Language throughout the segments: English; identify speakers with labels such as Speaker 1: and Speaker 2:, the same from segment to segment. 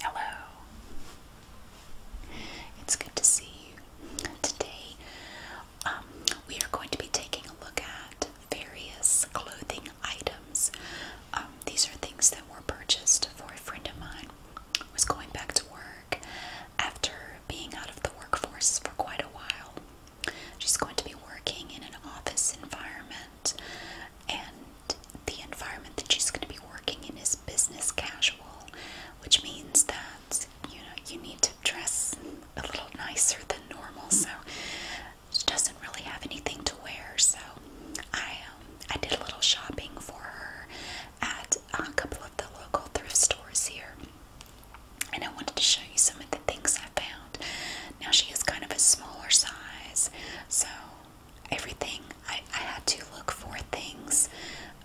Speaker 1: Hello. It's good to see you. Today, um, we are going to be taking a look at various clothing items. Um, these are things that were purchased for a friend of mine who was going back to work after being out of the workforce for quite a while. She's going to be working in an office environment and the environment that she's going to be working in is business casual, which means that you know you need to dress a little nicer than normal. So she doesn't really have anything to wear. So I um, I did a little shopping for her at a couple of the local thrift stores here, and I wanted to show you some of the things I found. Now she is kind of a smaller size, so everything. I, had to look for things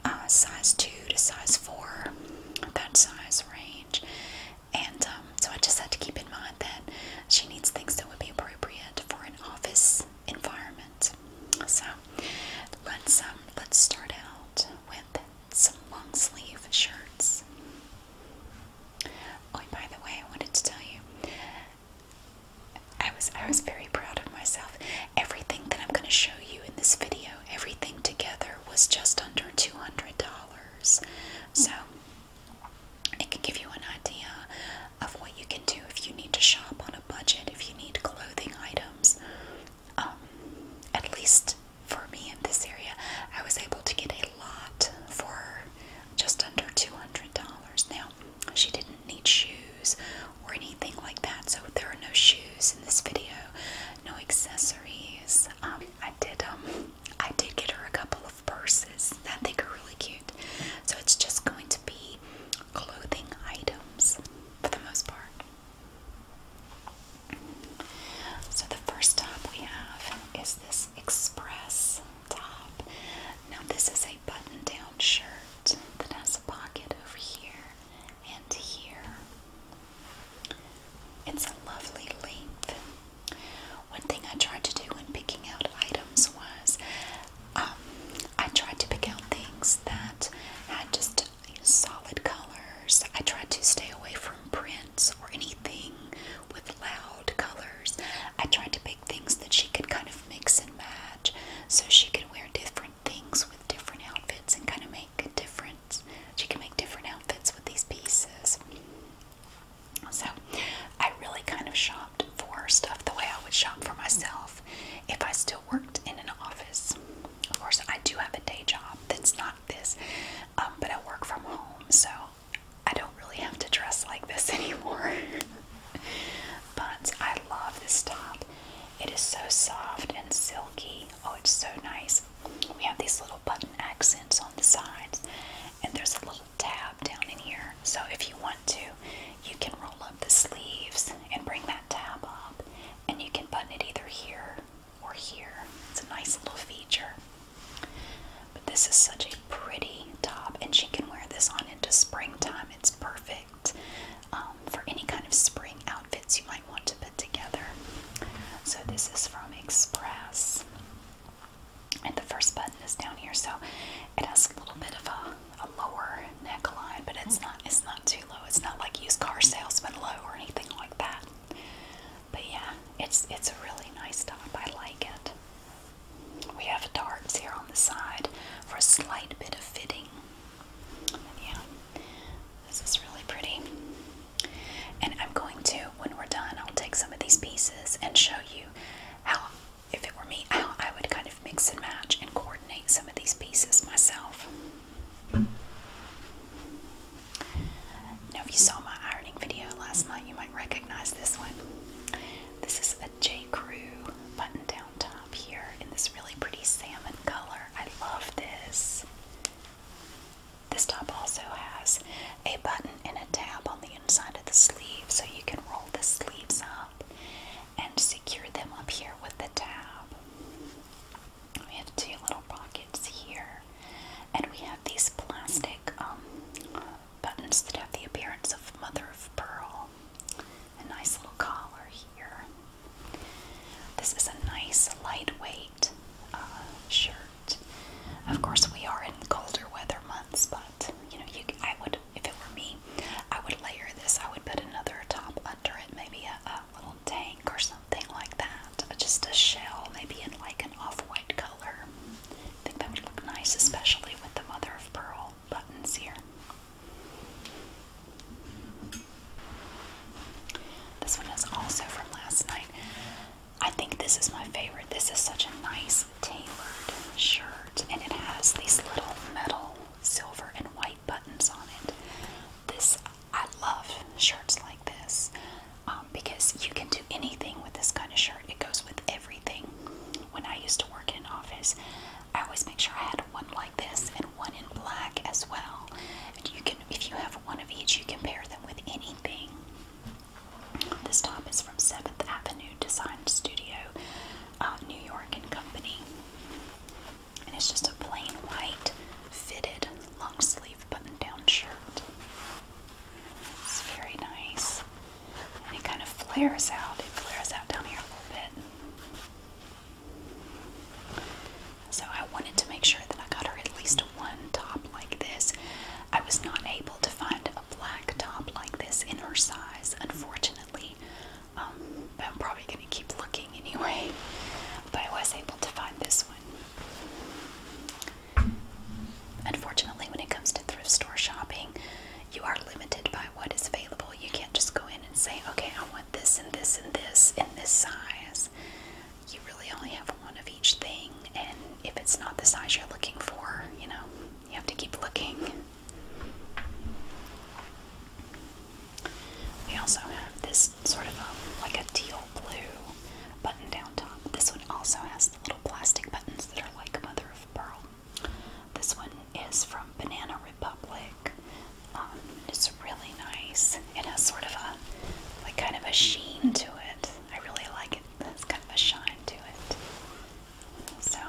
Speaker 1: uh, size 2 to size 4, that size range. And um, so I just had to keep in mind that she needs things that would be appropriate for an office environment. So let's um, let's start out with some long sleeve shirts. Oh, by the way, I wanted to tell you I was I was very proud of myself. Everything that I'm going to show you in this video, everything together was just under $200. So it can give you an idea of what you can do if you need to shop on a budget, if you need clothing items. Um, at least for me in this area, I was able to get a lot for just under $200. Now, she didn't need shoes or anything like that. So there are no shoes in this video, no accessories. Um, I did um, I did get her a couple of purses that I think are really cute. So it's just going to be clothing items for the most part. So the first top we have is this express top. Now this is a button-down shirt pocket that has a pocket over here and here. It's a lovely length. One thing I tried to do when picking out items was um, I tried to pick out things that had just solid colors. I tried to stay away from prints or anything with loud colors. I tried to pick things that she could kind of mix and match so she could wear different things with different outfits and kind of make a difference. She can make different outfits with these pieces. So I really kind of shopped for stuff the way I would shop for myself if I still worked in an office. Of course, I do have a day job that's not this, um, but I work from home, so I don't really have to dress like this anymore. Buns. I love this top. It is so soft and silky. Oh, it's so nice. We have these little button accents on the sides, and there's a little tab down in here. So if you want to, you can roll up the sleeves and bring that tab up, and you can button it either here or here. It's a nice little feature. But this is such a pretty top, and she can wear this on into springtime. It's perfect. Um, for any kind of spring outfits you might want to put together. So this is from Express. And the first button is down here, so it has a little bit of a, a lower neckline, but it's not it's not too low. It's not like used car salesman low or anything like that. But yeah, it's it's a really nice top. I like it. We have darts here on the side for a slight bit of fitting. yeah, this is really pretty. And I'm going to, when we're done, I'll take some of these pieces and show you how, if it were me, how I would kind of mix and match and coordinate some of these pieces myself. Now, if you saw my ironing video last night, you might recognize this one. This is a J. Crew button down top here in this really pretty salmon color. I love this. This top also has a button and a tab on the inside of the sleeve so you can roll the sleeves up and secure them up here with the tab. We have two little pockets here and we have these plastic um, buttons that have the appearance of mother of pearl. A nice little collar here. This is a nice lightweight uh, shirt. Of course, we are in colder weather months, but you know, I would, if it were me, I would layer this. I would put another top under it, maybe a, a little tank or something like that. Uh, just a shell, maybe in like an off-white color. I think that would look nice, especially with the mother of pearl buttons here. This one is also from last night. I think this is my favorite. This is such a nice tailored shirt, and it has these little metal silver and white buttons on it. This I love shirts like this um, because you can do anything with this kind of shirt. It goes with everything. When I used to work in office, I always make sure I had one like this and one in black as well. And you can, if you have one of each, you can pair them with anything. This top is from Seventh Avenue Design Studio, uh, New York and Company, and it's just a plain white fitted long sleeve button-down shirt. It's very nice, it kind of flares out. It flares out down here a little bit. So I wanted to make sure that I got her at least one top like this. I was not able to find a black top like this in her size, unfortunately. Um, I'm probably going to keep looking anyway. But I was able to find this one. Unfortunately, when it comes to thrift store shopping, you are limited by what is available. You can't just go in and say, okay, I want this and this and this in this size. You really only have one of each thing, and if it's not the size you're looking for, you know, you have to keep looking. We also have this sort of a, like a teal blue button down top. This one also has the little plastic buttons that are like mother of pearl. This one is from Banana Republic. Um, it's really nice. It has sort of a, like, kind of a sheen to it. I really like it. It's kind of a shine to it. So,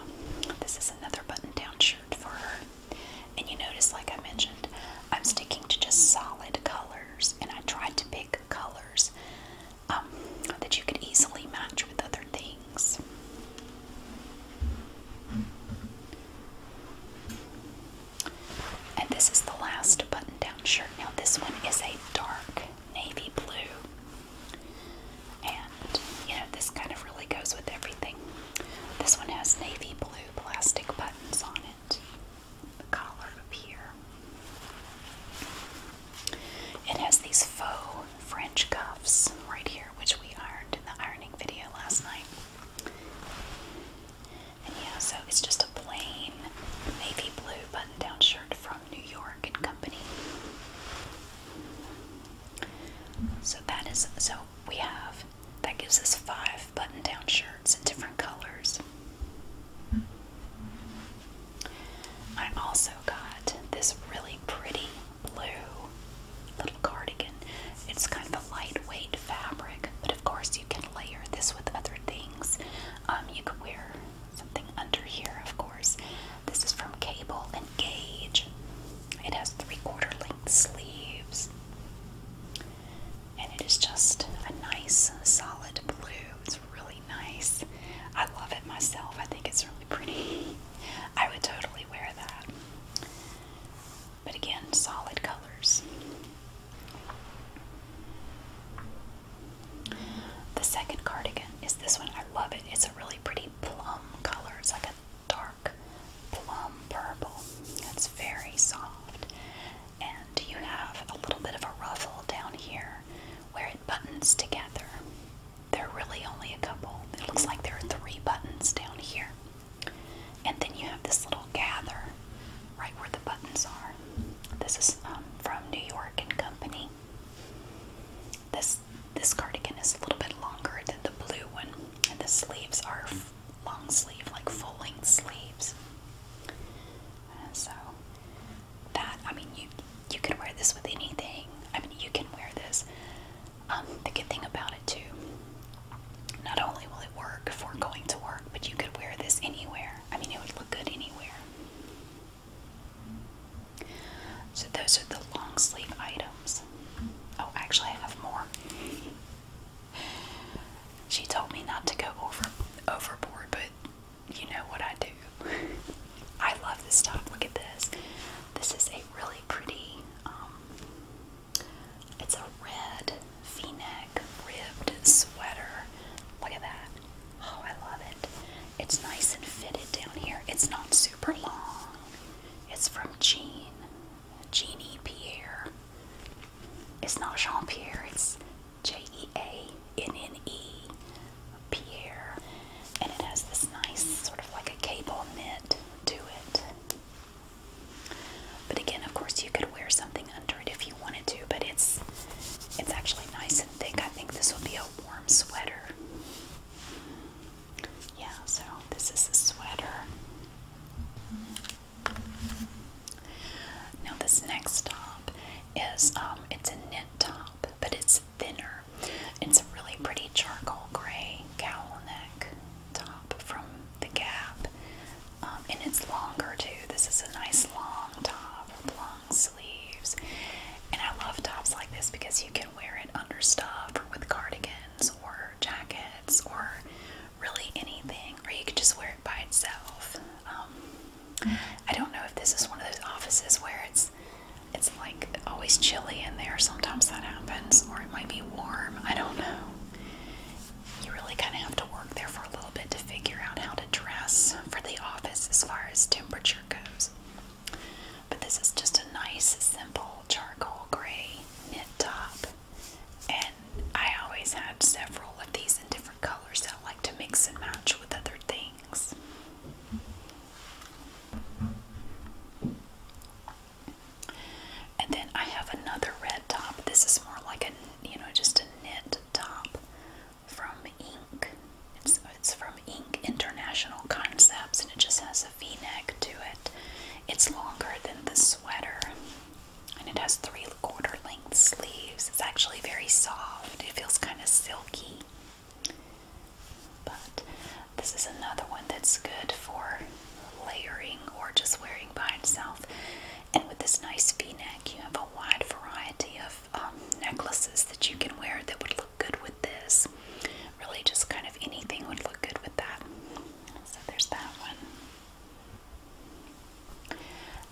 Speaker 1: this is another button down shirt for her. And you notice, like I mentioned, I'm sticking to just solid colors, and I tried to pick colors um, that you could easily match with other things. And this is the last button down shirt. Now, this one is a dark navy blue. And, you know, this kind of really goes with everything. This one has navy blue plastic buttons on it, the collar up here. It has these faux French cuffs right here, which we ironed in the ironing video last night. And yeah, so it's just a plain navy blue button down shirt from New York and Company. So that is so we have that gives us five button down shirts in different colors. I also got this really pretty blue little cardigan. It's kind of a lightweight fabric, but of course you can layer this with other things. Um, you could wear something under here, of course. This is from Cable and Gauge. It has three-quarter length sleeves. And it is just a nice solid blue. It's really nice. I love it myself. I think it's really pretty. I would totally wear that. But again, solid colors. The second cardigan is this one. I love it. It's a really pretty plum color. It's like a dark plum purple. It's very soft. And you have a little bit of a ruffle down here where it buttons together. There are really only a couple. It looks like there are three buttons down here. And then you have this little gather right where the buttons are. This is um, from New York and Company. This this cardigan is a little bit longer than the blue one, and the sleeves are long sleeve, like full length sleeves. so that I mean, you you can wear this with anything. I mean, you can wear this um, the good thing about it too, not only will it work for going to work, but you could wear this anywhere. I mean, it would look good anywhere. So those are the long sleeve items. Oh, actually, I have more. She told me not to go over overboard, but you know what I do. I love this top. Look at this. This is a really pretty um, it's a red v-neck ribbed sweater. Look at that. Oh, I love it. It's nice and fitted down here. It's not super long. It's from Jean. Jeannie Pierre. It's not Jean Pierre, it's J E A N N E Pierre. And it has this nice, sort of like a cable knit to it. But again, of course, you could wear something under it if you wanted to, but it's it's actually nice and thick. I think this will be a warm sweater. Yeah, so this is a sweater. Now this next top is um it's a knit top, but it's thinner. It's a really pretty charcoal gray cowl neck top from the Gap, um, and it's longer too. This is a nice long top with long sleeves, and I love tops like this because you can wear it under stuff or with cardigans or jackets or really anything, or you could just wear it by itself. Um, I don't know if this is one of those offices where it's it's like always chilly in there. Sometimes that happens, or it might be warm. I don't know you really kind of have to work there for a little bit to figure out how to dress for the office as far as temperature goes. But this is just a nice, simple charcoal gray knit top. And I always had several of these in different colors that I like to mix and match with other things. And then I have another red top. This is more like a, you know, just a knit top from Ink. It's, from Ink International Concepts and it just has a v-neck to it. It's longer than the sweater and it has three quarter length sleeves. It's actually very soft. It feels kind of silky. But this is another one that's good for layering or just wearing by itself. And with this nice v-neck, you have a wide variety of um, necklaces that you can wear that would look good with this. Really just kind of anything would look good with that. So there's that one.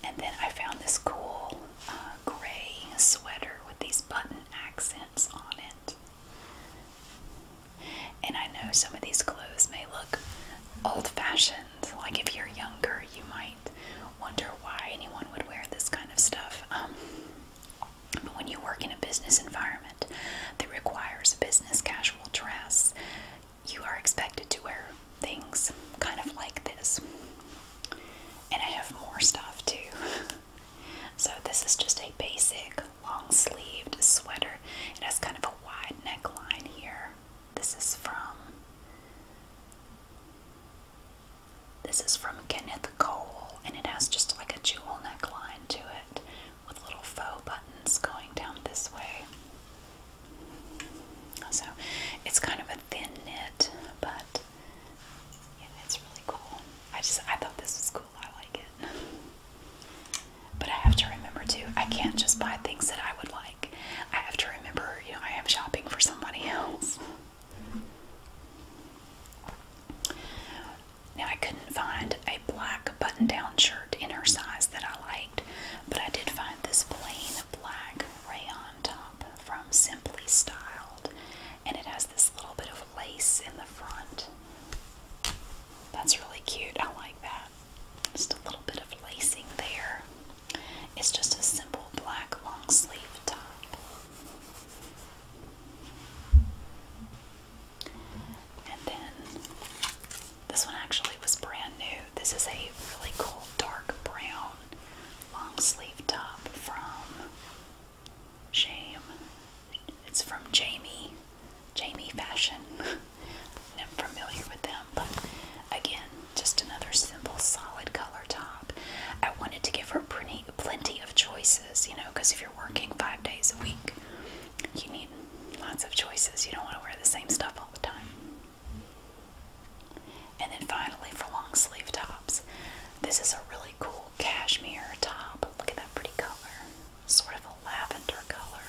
Speaker 1: And then I found this cool uh, gray sweater with these button accents on it. And I know some of these clothes may look old fashioned. Like if you're younger, you might wonder why anyone would wear this kind of stuff. Um, but when you work in a business environment that requires business casual dress, you are expected to wear things kind of like this. And I have more stuff too. so this is just a basic long sleeved sweater. It has kind of a wide neckline here. This is from This is from Kenneth Cole and it has just like a jewel neckline to it with little faux buttons going down this way. So it's kind of a thin knit, but yeah, it's really cool. I just I thought this was cool. I like it. But I have to remember too, I can't just buy things that I would like. I have to remember, you know, I am shopping for somebody else. Now, I couldn't find a black button down shirt in her size that I liked, but I did find this plain black rayon top from Simply Styled, and it has this little bit of lace in the front. That's really cute. I like that. Just a little bit of lacing there. It's just a simple black long sleeve top. And then this one actually was brand new. This is a really cool dark brown long sleeve top from Shame. It's from Jamie Jamie fashion. I'm familiar with them, but again, just another simple, solid color top. I wanted to give her pretty, plenty of choices, you know, because if you're working five days a week, you need lots of choices. You don't want to wear the same stuff all the time. And then finally, for long sleeve tops, this is a really cool cashmere top. Look at that pretty color sort of a lavender color.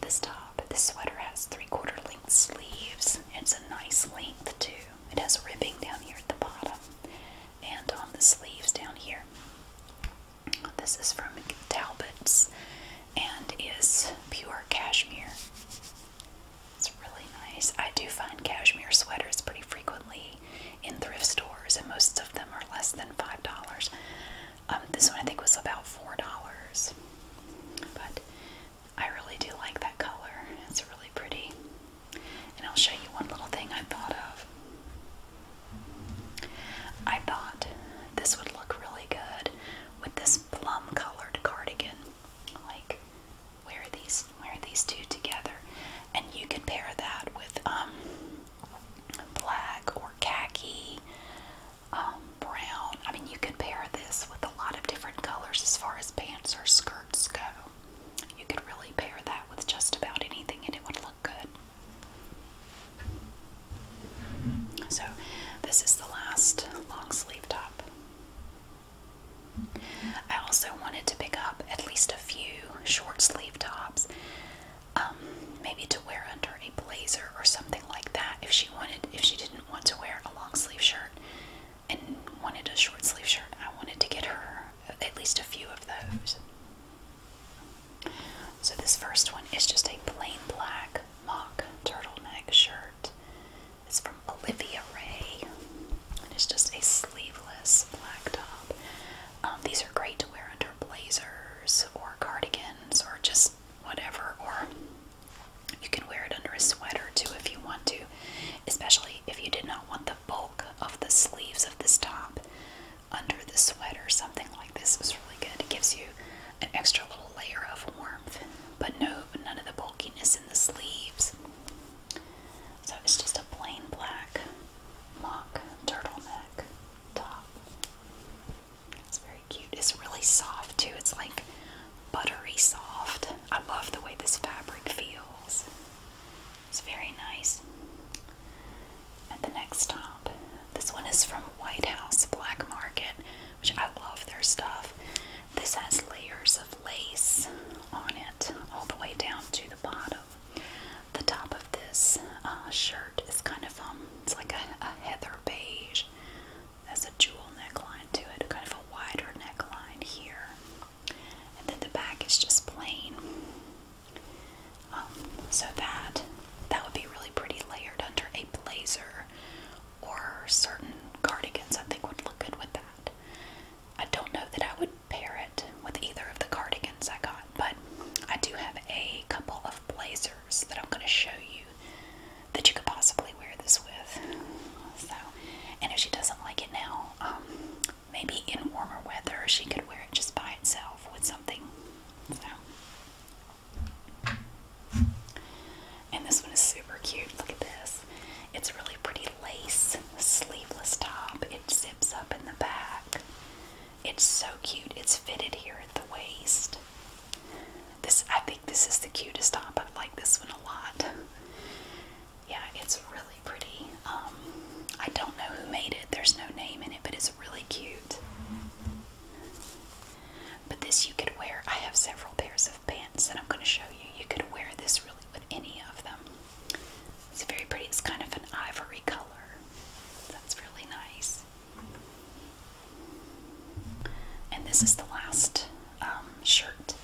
Speaker 1: This top, this sweater has three-quarter length sleeves. It's a nice length too. It has ribbing down here at the bottom and on the sleeves down here. This is from Talbot's and is pure cashmere. It's really nice. I do find cashmere sweaters pretty frequently in thrift stores, and most of them are less than $5. Um, this one I think was about four dollars, but I really do like that color. It's really pretty. And I'll show you one little thing I thought of. I thought this would look really good with this plum colored cardigan. Like wear these wear these two together. And you can pair that with um black or khaki um, brown. I mean, you can pair this with a lot of different colors as far as pants or skirts go. You could really pair that with just about anything and it would look good. So, this is the last long sleeve top. I also wanted to pick up at least a few short sleeve tops. Um, maybe to wear under a blazer or something like that if she wanted if she didn't want to wear a long sleeve shirt and wanted a short sleeve shirt I wanted to get her at least a few of those so this first one is just a plain black mock turtleneck shirt it's from Olivia Ray and it's just a sleeveless black top um, these are great to wear under blazers or cardigans or just whatever, or you can wear it under a sweater too if you want to, especially if you did not want the bulk of the sleeves of this top under the sweater. Something like this is really good. It gives you an extra little layer of warmth, but no, none of the bulkiness in the sleeves. So it's just a plain black mock turtleneck top. It's very cute. It's really soft too. It's like buttery soft. I love the way this fabric feels. It's very nice. And the next top. This one is from White House Black Market, which I love their stuff. This has layers of lace on it all the way down to the bottom. The top of this uh, shirt it's kind of um, it's like a, heather beige. That's a jewel neckline to it, kind of a wider neckline here, and then the back is just plain. Um, so that that would be really pretty layered under a blazer or certain cardigans. I think would look good with that. I don't know that I would pair it with either of the cardigans I got, but I do have a couple of blazers that I'm going to show you that you could possibly wear this with. So, and if she doesn't like it now, um, maybe in warmer weather she could wear it just by itself with something. So, and this one is super cute. Look at this. It's really pretty lace sleeveless top. It zips up in the back. It's so cute. It's fitted here at the waist. This I think this is the cutest top. I like this one a lot. Yeah, it's really pretty. Um, I don't know who made it. There's no name in it, but it's really cute. But this you could wear. I have several pairs of pants that I'm going to show you. You could wear this really with any of them. It's very pretty. It's kind of an ivory color. That's really nice. And this is the last um, shirt.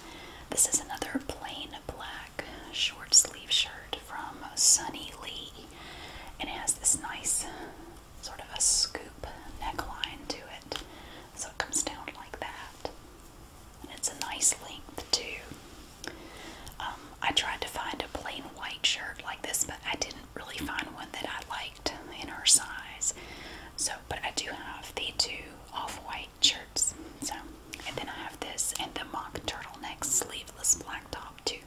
Speaker 1: This is another plain black short sleeve shirt from Sunny Lee. And it has this nice sort of a scoop neckline to it. So it comes down like that. And it's a nice length too. Um, I tried to find a plain white shirt like this, but I did not did really find one that I liked in our size. So, but I do have the two off-white shirts. So, and then I have this and the mock turtleneck sleeveless black top too.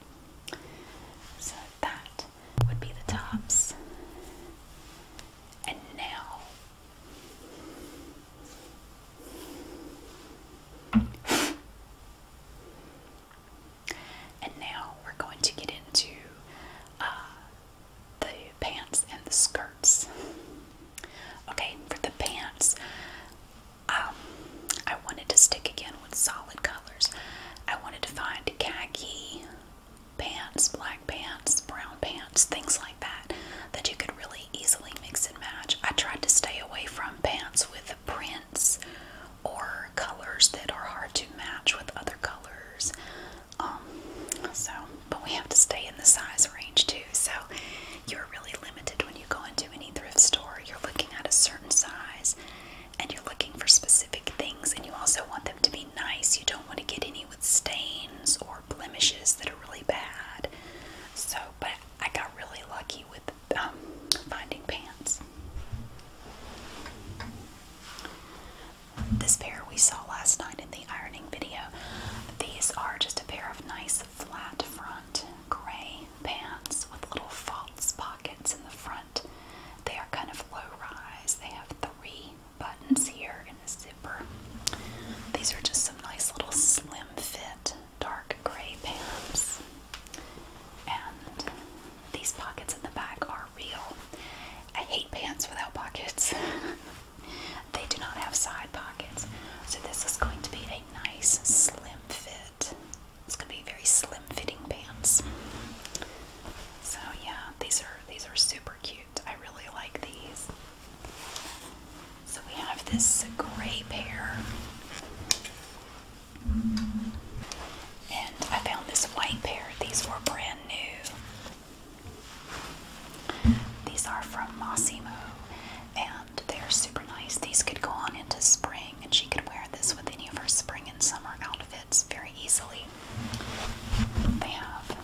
Speaker 1: So that would be the tops. And now and now we're going to get into uh, the pants and the skirts. Okay, for the pants, um, I wanted to stick again with solid colors. I wanted to find khaki pants, black pants, brown pants, things like that, that you could really easily mix and match. I tried to stay away from pants with prints or colors that are hard to match with other colors. Um, so, but we have to stay in the size range too. So, you're really limited when you go into any thrift store. You're looking at a certain size and you're looking for specific things, and you also want them to be nice. You don't want to get any with stains or blemishes that are really bad. So, but I got really lucky with um, finding pants this pair we saw last night in the ironing video. These are just a pair of nice flat front gray pants with little false pockets in the front. They are kind of low rise. They have three buttons here in the zipper. These are just some nice little slim fit dark gray pants. And these pockets in the back are real. I hate pants without pockets. they do not have side pockets. So this is going to be a nice slim fit. It's going to be very slim fitting pants. So yeah, these are these are super cute. I really like these. So we have this gray pair. And I found this white pair. These were brand new. These are from Mossy Moo, and they're super nice. These could go on into spring, and she could wear this with any of her spring and summer outfits very easily. They have,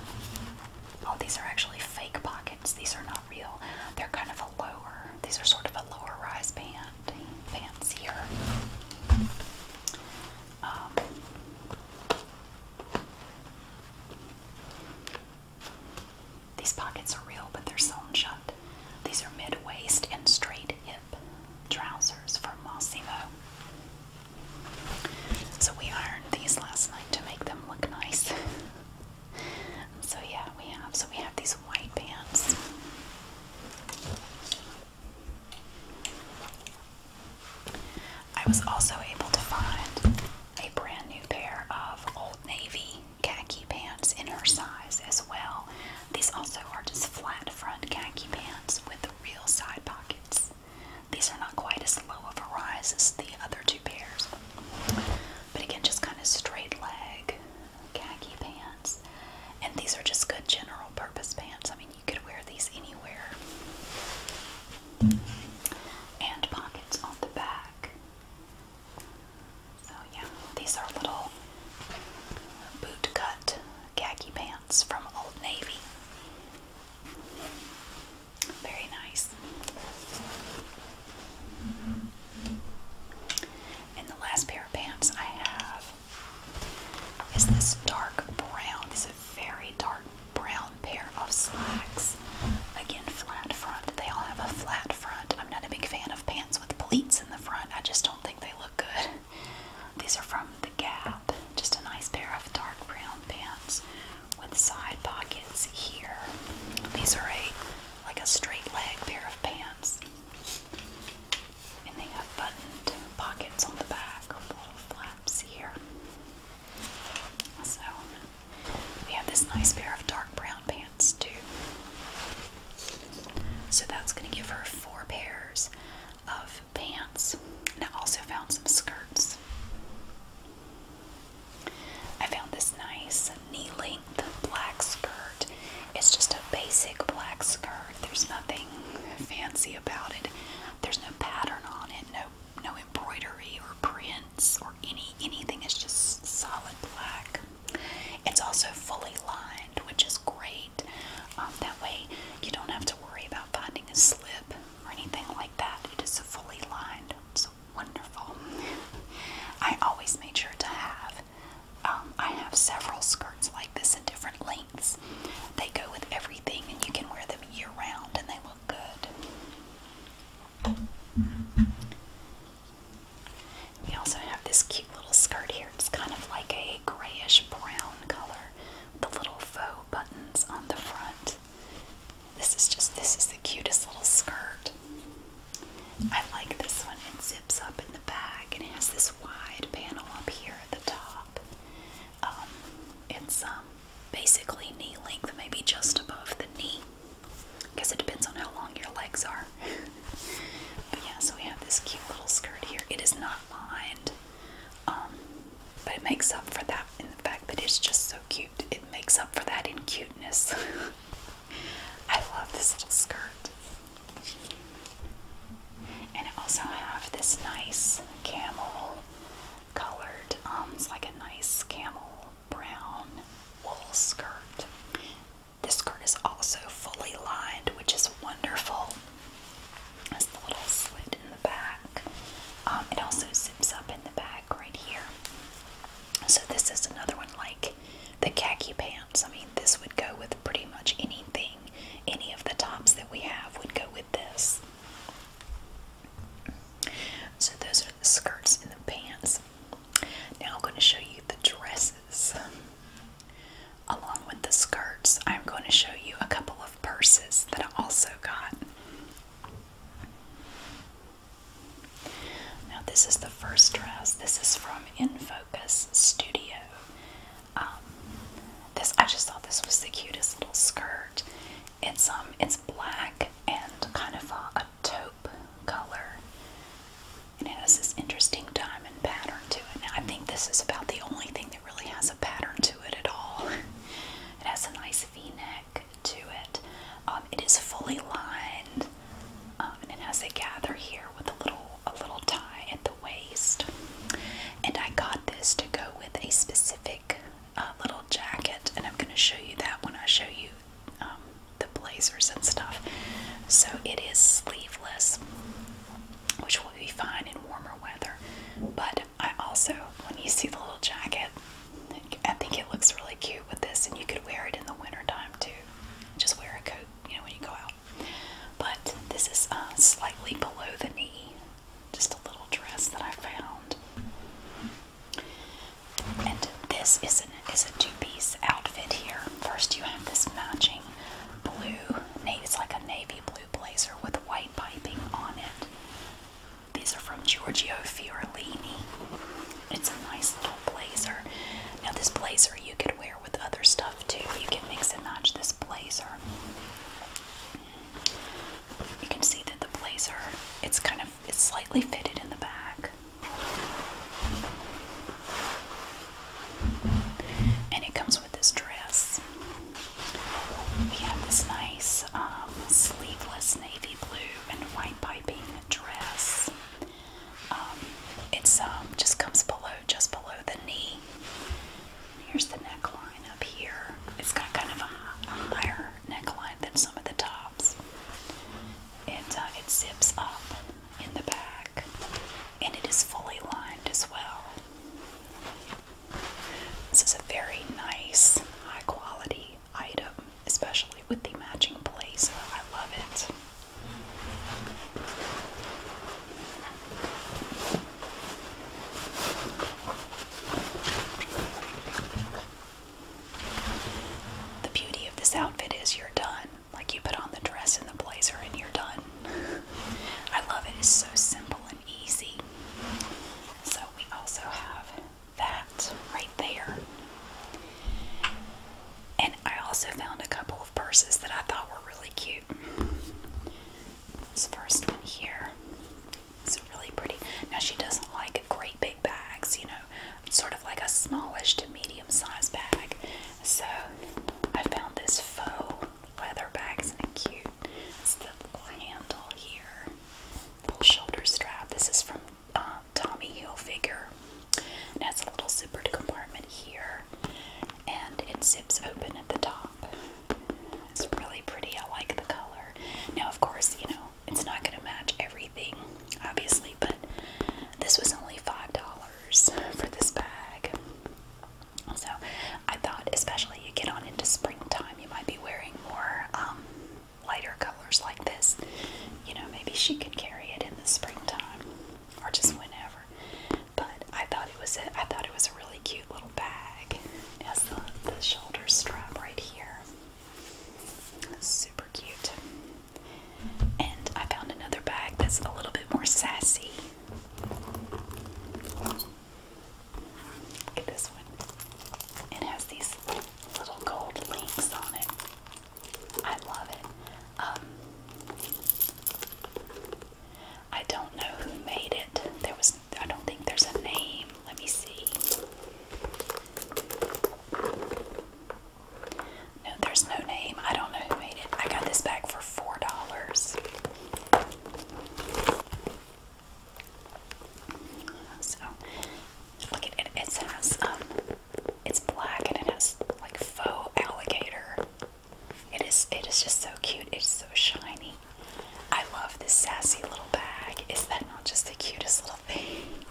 Speaker 1: oh, these are actually fake pockets. These are not real. They're kind of a lower, these are sort of a lower rise band, fancier. Um, these pockets are real, but they're sewn shut. These are mid waist and straight hip trousers from Mossimo. So we ironed these last night to make them look nice. so yeah, we have so we have these white pants. I was also able to find a brand new pair of Old Navy khaki pants in her size as well. These also are just flat front khaki pants with real side pockets. These are not quite as low of a rise as the other two pairs. But again, just kind of straight leg khaki pants. And these are just good general purpose pants. I mean, you could wear these anywhere. And pockets on the back. So, yeah, these are little boot cut khaki pants from Old Navy. Very nice. And the last pair of pants I have is this dark brown. It's a very dark brown pair of slacks. Again, flat front. They all have a flat front. I'm not a big fan of pants with pleats in the front. I just don't think they look good. These are from The Gap. Just a nice pair of dark brown pants with side pockets here. These are a like a straight leg pair of pants. And they have buttoned pockets on the back little flaps here. So we have this nice pair of dark brown pants too. So that's going to give her four pairs of pants. And I also found some skirts. I found this nice knee length black skirt. It's just a basic black skirt. There's nothing fancy about it. There's no pattern on it, no no embroidery or prints or any anything. It's just solid black. It's also fully lined, which is great. Um, that way you don't have to worry about finding a slip or anything like that. It is fully lined. It's wonderful. I always made sure to have. Um, I have several skirts like this in different lengths they go with everything, and you can wear them year round, and they look good. We also have this cute little skirt here. It's kind of like a grayish brown color with the little faux buttons on the front. This is just this is the cutest little skirt. I like this one. It zips up in the back and it has this wide panel up here at the top um, it's um, basically knee length, maybe just above the knee. I guess it depends on how long your legs are. but yeah, so we have this cute little skirt here. It is not lined, um, but it makes up for that in the fact that it's just so cute. It makes up for that in cuteness. I love this little skirt. And I also have this nice camel colored. Um, it's like a nice camel brown wool skirt. This skirt is also fully lined, which is wonderful. It's the little slit in the back. Um, it also zips up in the back right here. So this is another one like the khaki pants. I mean, this would go with pretty much anything. Any of the tops that we have would go with this. So those are the skirts and the pants. Now I'm going to show you the dresses. Along with the skirts, I'm going to show you a couple of purses that I also got. Now this is the first dress. This is from InFocus Studio. Um, this I just thought this was the cutest little skirt. It's um it's black and kind of a, taupe color. And it has this interesting diamond pattern to it. I think this is about the only thing that really has a pattern to it at all. it has a nice v-neck to it. Um, it is fully lined. Um, and it has a gather here with a little a little tie at the waist. And I got this to go with a specific uh, little jacket, and I'm going to show you that when I show you um, the blazers and stuff. So it is sleeveless, which will be fine in warmer weather. But I also, when you see the little jacket, I think it looks really cute with this, and you could wear it in the wintertime too. Just wear a coat, you know, when you go out. But this is uh, slightly below the knee just a little dress that I found. And this is, an, is a two-piece outfit here. First you have this matching blue, it's like a navy blue blazer with white piping on it. These are from Giorgio Fiorellini. It's a nice little blazer. Now this blazer you could wear with other stuff too. You can mix and match this blazer. You can see that the blazer, it's kind of it's slightly fitted in the back. And it comes with this dress. We have this nice um, sleeveless navy blue and white piping dress. Um, it's um, just comes below, just below the knee. Here's the neckline up here. It's got kind of a higher neckline than some of the tops. and uh, it zips up in the back and it is fully lined as well. This is a very nice, high quality item, especially with the matching blazer. I love it. The beauty of this outfit is you're done. Like you put on the dress and the blazer and you're done. I love it. It's so simple and easy. So we also have that right there. And I also found a couple of purses that I thought were really cute. This first one here it's really pretty. Now she doesn't like great big bags, you know, sort of like a smallish to medium sized bag. So I found this faux leather bag, isn't cute? It's the little handle here, little shoulder strap. This is from uh, Tommy Hilfiger. It has a little zippered compartment here, and it zips open at the top. It's really pretty. I like the color. Now, of course, you know it's not going to match everything, obviously, but this was only $5 for this bag. So I thought, especially you get on into springtime, you might be wearing more um, lighter colors like this. You know, maybe she could carry it in the springtime or just whenever. But I thought it was a, I thought it was a really cute little bag. It has the, the shoulder strap right here. Super cute. And I found another bag that's a little bit more sassy. Look at this one. It has these little gold links on it. I love it. Um, I don't know who made it. There was I don't think there's a name. Let me see. No, there's no name. I don't know who made it. I got this bag for four dollars. So look at it. It has um, it's black and it has like faux alligator. It is. It is just so cute. It's so shiny. I love this sassy little bag. Is that not just the cutest little thing?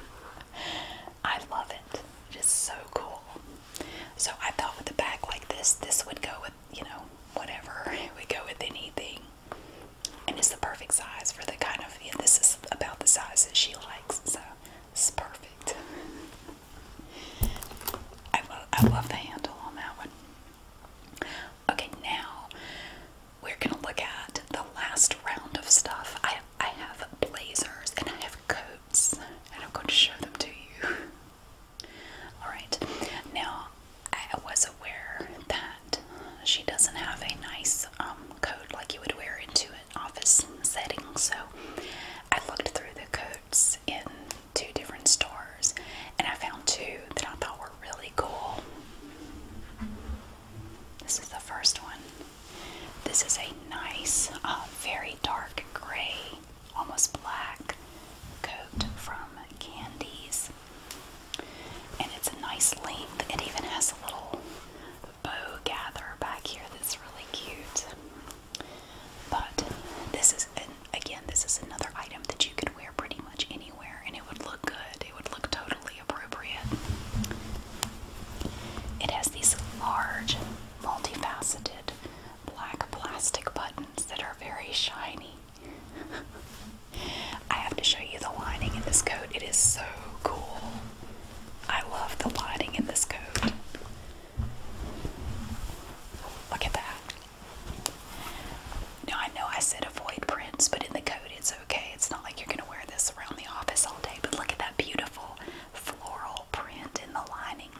Speaker 1: I love it. It is so cool. So I thought with a bag like this, this would go with, you know, whatever. It would go with anything. And it's the perfect size for the kind of, yeah, this is about the size that she likes. So it's perfect. I, lo I love the handle on that one. Okay, now we're gonna look at the last round of stuff. I I have blazers and I have coats, I'm going to show them to you. Alright, now I was aware that she doesn't have a nice um, coat like you would wear into an office setting, so I looked through the coats in two different stores and I found two that I thought were really cool. This is the first one. This is a nice, uh, very dark gray, almost black coat from Candies. And it's a nice length. It even has a little bow gather back here that's really cute. But this is, again, this is another item that you can wear pretty much anywhere and it would look good. It would look totally appropriate. It has these large, multifaceted black plastic buttons that are very shiny. I have to show you the lining in this coat. It is so cool. I love the lining in this coat. Look at that. Now I know I said avoid prints, but in the coat it's okay? It's not like you're gonna wear this around the office all day, but look at that beautiful floral print in the lining.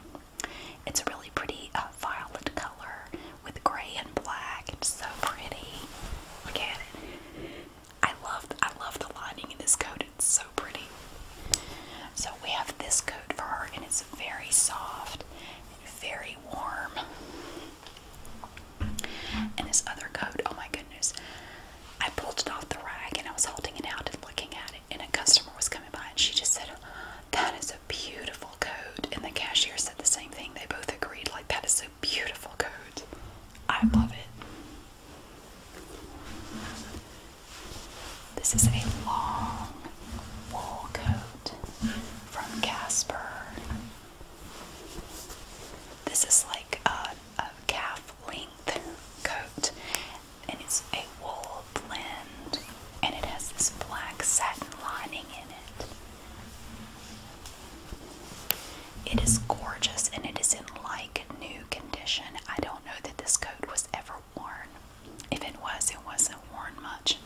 Speaker 1: It's a really pretty uh, violet color with gray and black. It's so pretty. Look at it. I love I love the lining in this coat. It's so pretty. So we have this coat for her, and it's very soft and very warm. And this other coat, oh my goodness, I pulled it off the rack and I was holding it out and looking at it. And a customer was coming by and she just said, That is a beautiful coat. And the cashier said the same thing. They both agreed, like, that is a beautiful coat. I love it. This is a long wool coat from Casper. This is like a, calf length coat, and it's a wool blend, and it has this black satin lining in it. It is gorgeous and it is in like new condition. I don't know that this coat was ever worn. If it was, it wasn't worn much.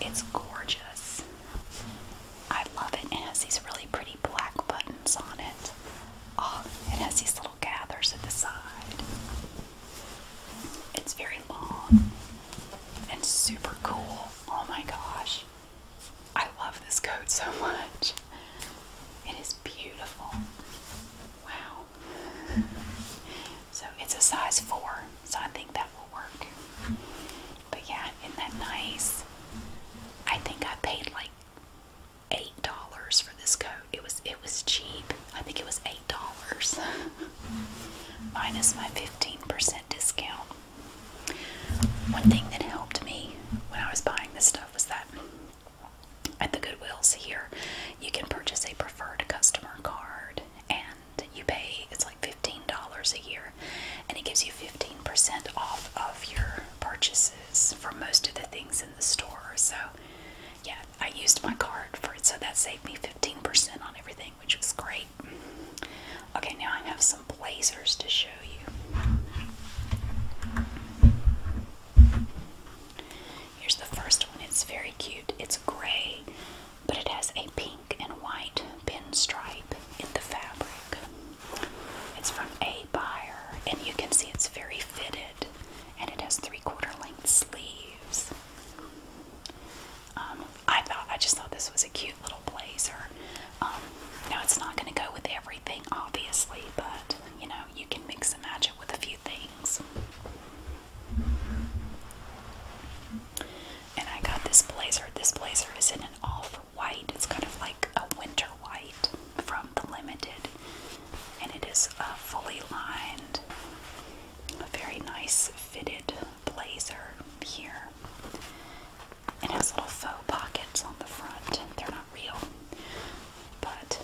Speaker 1: It's gorgeous. I love it. It has these really pretty black buttons on it. Oh, it has these little gathers at the side. It's very long and super cool. Oh my gosh. I love this coat so much. It is beautiful. Wow. So it's a size 4, so I think that will work. But yeah, isn't that nice? I think I paid like eight dollars for this coat. It was it was cheap. I think it was eight dollars. Minus my 15% discount. One thing that helped me when I was buying this stuff was that at the Goodwills here, you can purchase a preferred customer card and you pay, it's like $15 a year and it gives you 15% off of your purchases for most of the things in the store. So, yeah, I used my card for it, so that saved me 15% on everything, which was great. Okay, now I have some blazers to show you. Here's the first one, it's very cute. It's gray, but it has a pink and white pinstripe in the fabric. It's from A Buyer, and you can see it's very fitted, and it has three-quarter length sleeves. Um, I thought I just thought this was a cute little blazer. Um, it's not going to go with everything, obviously, but you know you can mix and match it with a few things. And I got this blazer. This blazer is in an off white. It's kind of like a winter white from the Limited, and it is a uh, fully lined. very nice fitted blazer here. It has little faux pockets on the front. They're not real, but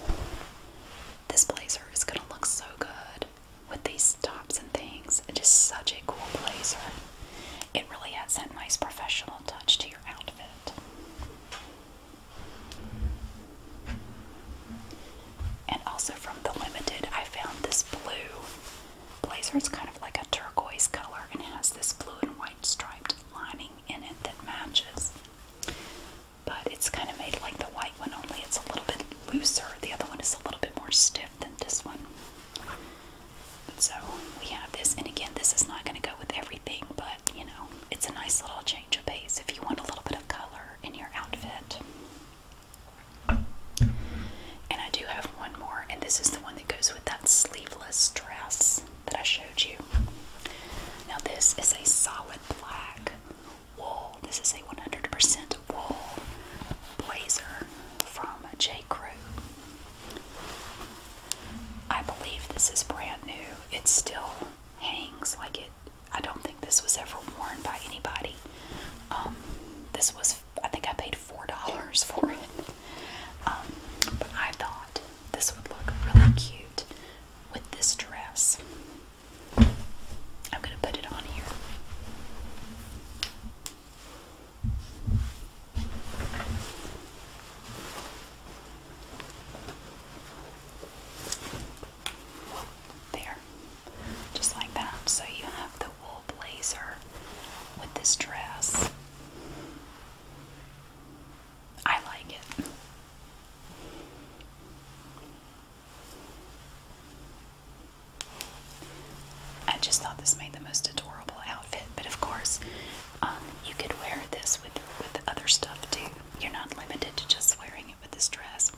Speaker 1: this blazer is gonna look so good with these tops and things. It's just such a cool blazer. It really adds that nice professional touch to your outfit. And also from the Limited, I found this blue blazer. It's kind of like a turquoise color and it has this blue and white striped lining in it that matches. But it's kind of made like the white one, only it's a little bit looser. The other one is a little bit more stiff than this one. So we have this, and again, this is not going to go with everything, but you know, it's a nice little change of pace if you want a little bit of color in your outfit. And I do have one more, and this is the one that goes with that sleeveless dress that I showed you. Now, this is a solid black wool. This is a 100% wool blazer from J. Crew. I believe this is brand new. It still hangs like it. I don't think this was ever worn by anybody. Um, this was, I think I paid $4 for it. Um, but I thought this would look really cute with this dress. I'm going to put it on here. There, just like that. So you have the wool blazer with this dress. I like it. I just thought this made the most adorable outfit, but of course, um, you could wear this with with other stuff too. You're not limited to just wearing it with this dress.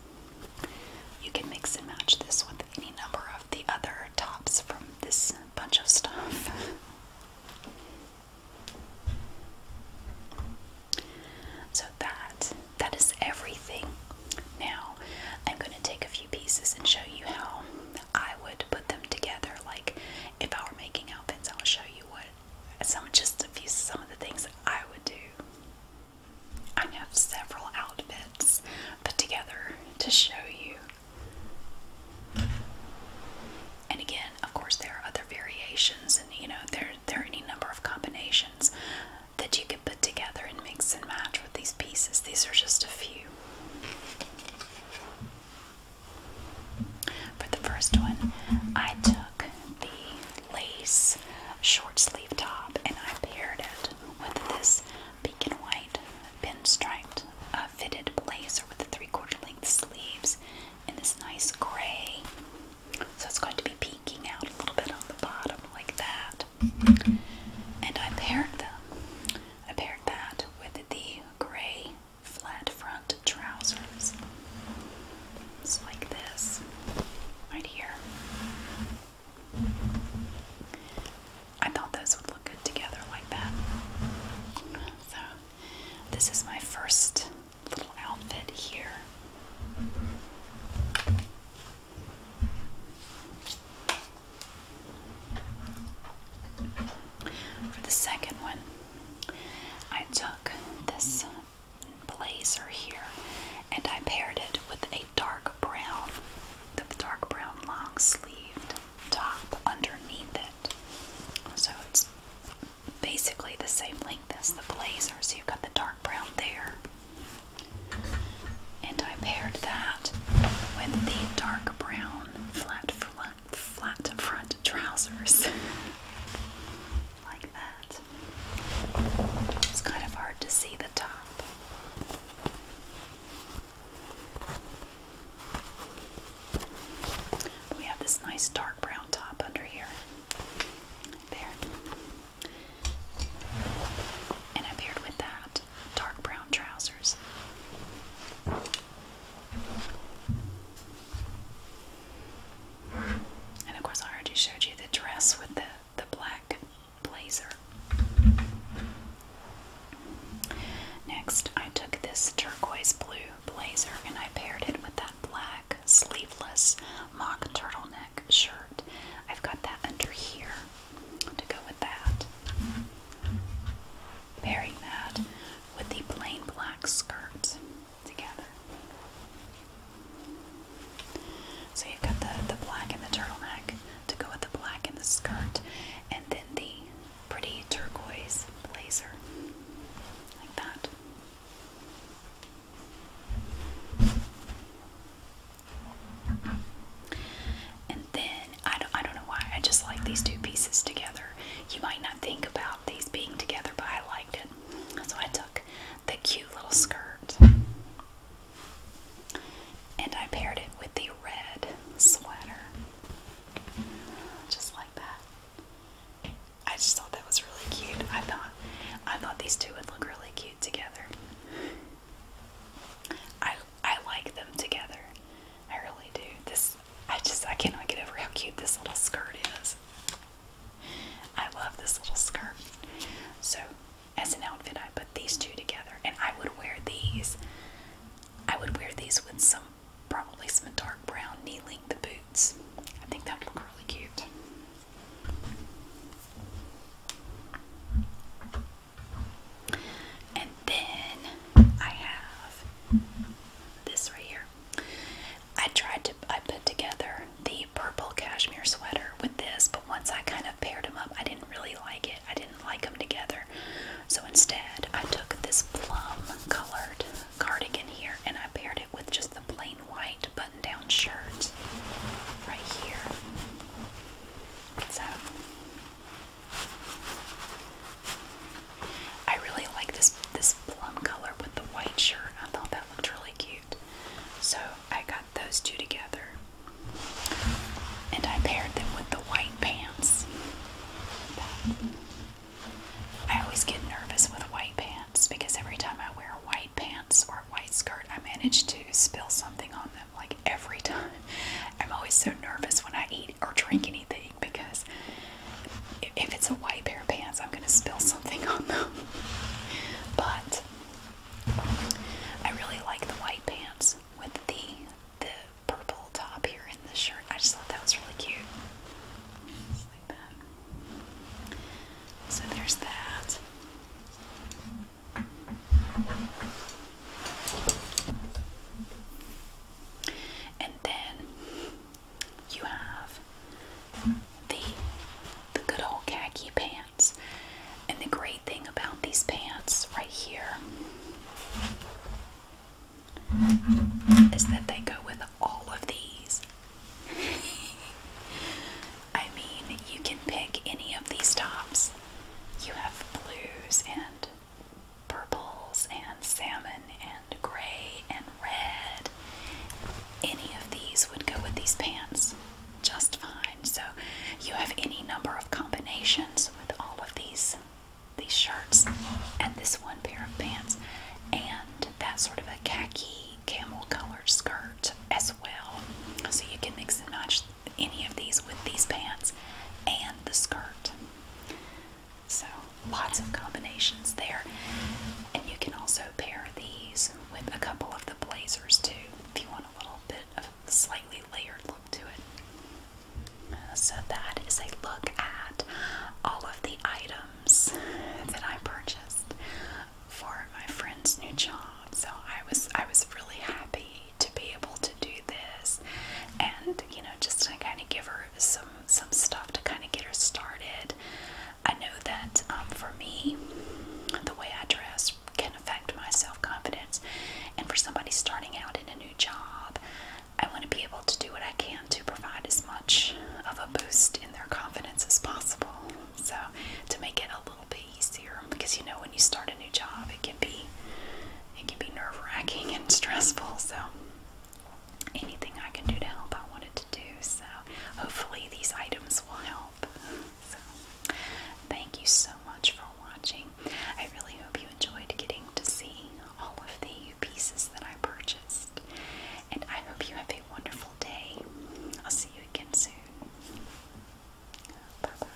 Speaker 1: You can mix and match this with any number of the other tops from this bunch of stuff. So that that is everything. Now I'm going to take a few pieces and show you how I would put them together. Like if I were making outfits, I'll show you what would some just a few some of the things I would do. I have several outfits put together to show you. And again, of course, there are other variations, and you know, there, there are any number of combinations that you could put together and mix and match with these pieces. These are just a few. For the first one, I took the lace short sleeve top and I paired it with this pink and white pinstriped uh, fitted blazer with the three quarter length sleeves in this nice gray. So it's going to be peeking out a little bit on the bottom like that. And I paired them. I paired that with the gray flat front trousers. It's like this, right here. I thought those would look good together like that. So, this is my first little outfit here. For the second one, I took this blazer here and I paired it with a dark brown, the dark brown long sleeved top underneath it. So it's basically the same length as the blazer. So you've got the dark brown there. And I paired that with the dark brown flat front flat front trousers like that. It's kind of hard to see the top. We have this nice dark brown top under here. There. And I paired with that dark brown trousers. And of course, I already showed you the dress with the, the black blazer. Next, I took this turquoise blue blazer and I paired it with that black sleeveless mock turtle neck shirt. I've got that under here to go with that. Pairing that with the plain black skirt. So you've got the, the black and the turtleneck to go with the black and the skirt, and then the pretty turquoise blazer, like that. And then I don't, I don't know why I just like these two pieces together. You might not think about these being together, but I liked it. So I took the cute little skirt and I paired it with the red sweater. Just like that. I just thought that was really cute. I thought I thought these two would look really cute together. I I like them together. I really do. This I just I cannot get over how cute this little skirt is. I love this little skirt. So as an outfit I put these two together and I would wear these. I would wear these with some probably some dark brown knee length boots. I think that would look really cute. And then I have this right here. I tried to I put together the purple cashmere sweater with this, but once I kind of paired them up, I didn't really like it. I didn't like them together. So instead, I took this plum colored cardigan here and I paired it with just the plain white button down shirt right here. So I really like this this plum color with the white shirt. I thought that looked really cute. So I got those two together. And I paired them with the white pants. I always get nervous with white pants because every time I wear white pants or a white skirt, I manage to spill something on them like every time. I'm always so nervous when I eat or drink anything because if it's a white pair of pants, I'm gonna spill something on them. but I really like the white pants with the the purple top here in the shirt. I just thought that was really cute. So there's that. And then you have the the good old khaki pants. And the great thing about these pants right here is that they go with all of these. I mean, you can pick any of these tops. You have blues and purples and salmon and gray and red. Any of these would go with these pants just fine. So you have any number of combinations with all of these these shirts and this one pair of pants and that sort of a khaki camel colored skirt as well. So you can mix and match any of these with these pants and the skirt. So lots of combinations there. And you can also pair these with a couple of the blazers too if you want a little bit of a slightly layered look to it. Uh, so that is a look at all of the items that I purchased for my friend's new job. So I was I was really happy to be able to do this and you know just to kind of give her some some stuff to kind of get her started. I know that um, for me, the way I dress can affect my self confidence, and for somebody starting out in a new job, I want to be able to do what I can to provide as much of a boost in their confidence as possible. So to make it a little bit easier, because you know when you start a new job, it can be it can be nerve wracking and stressful. So anything I can do to help, I wanted to do. So, hopefully, these items will help. So, thank you so much for watching. I really hope you enjoyed getting to see all of the pieces that I purchased. And I hope you have a wonderful day. I'll see you again soon. Bye bye.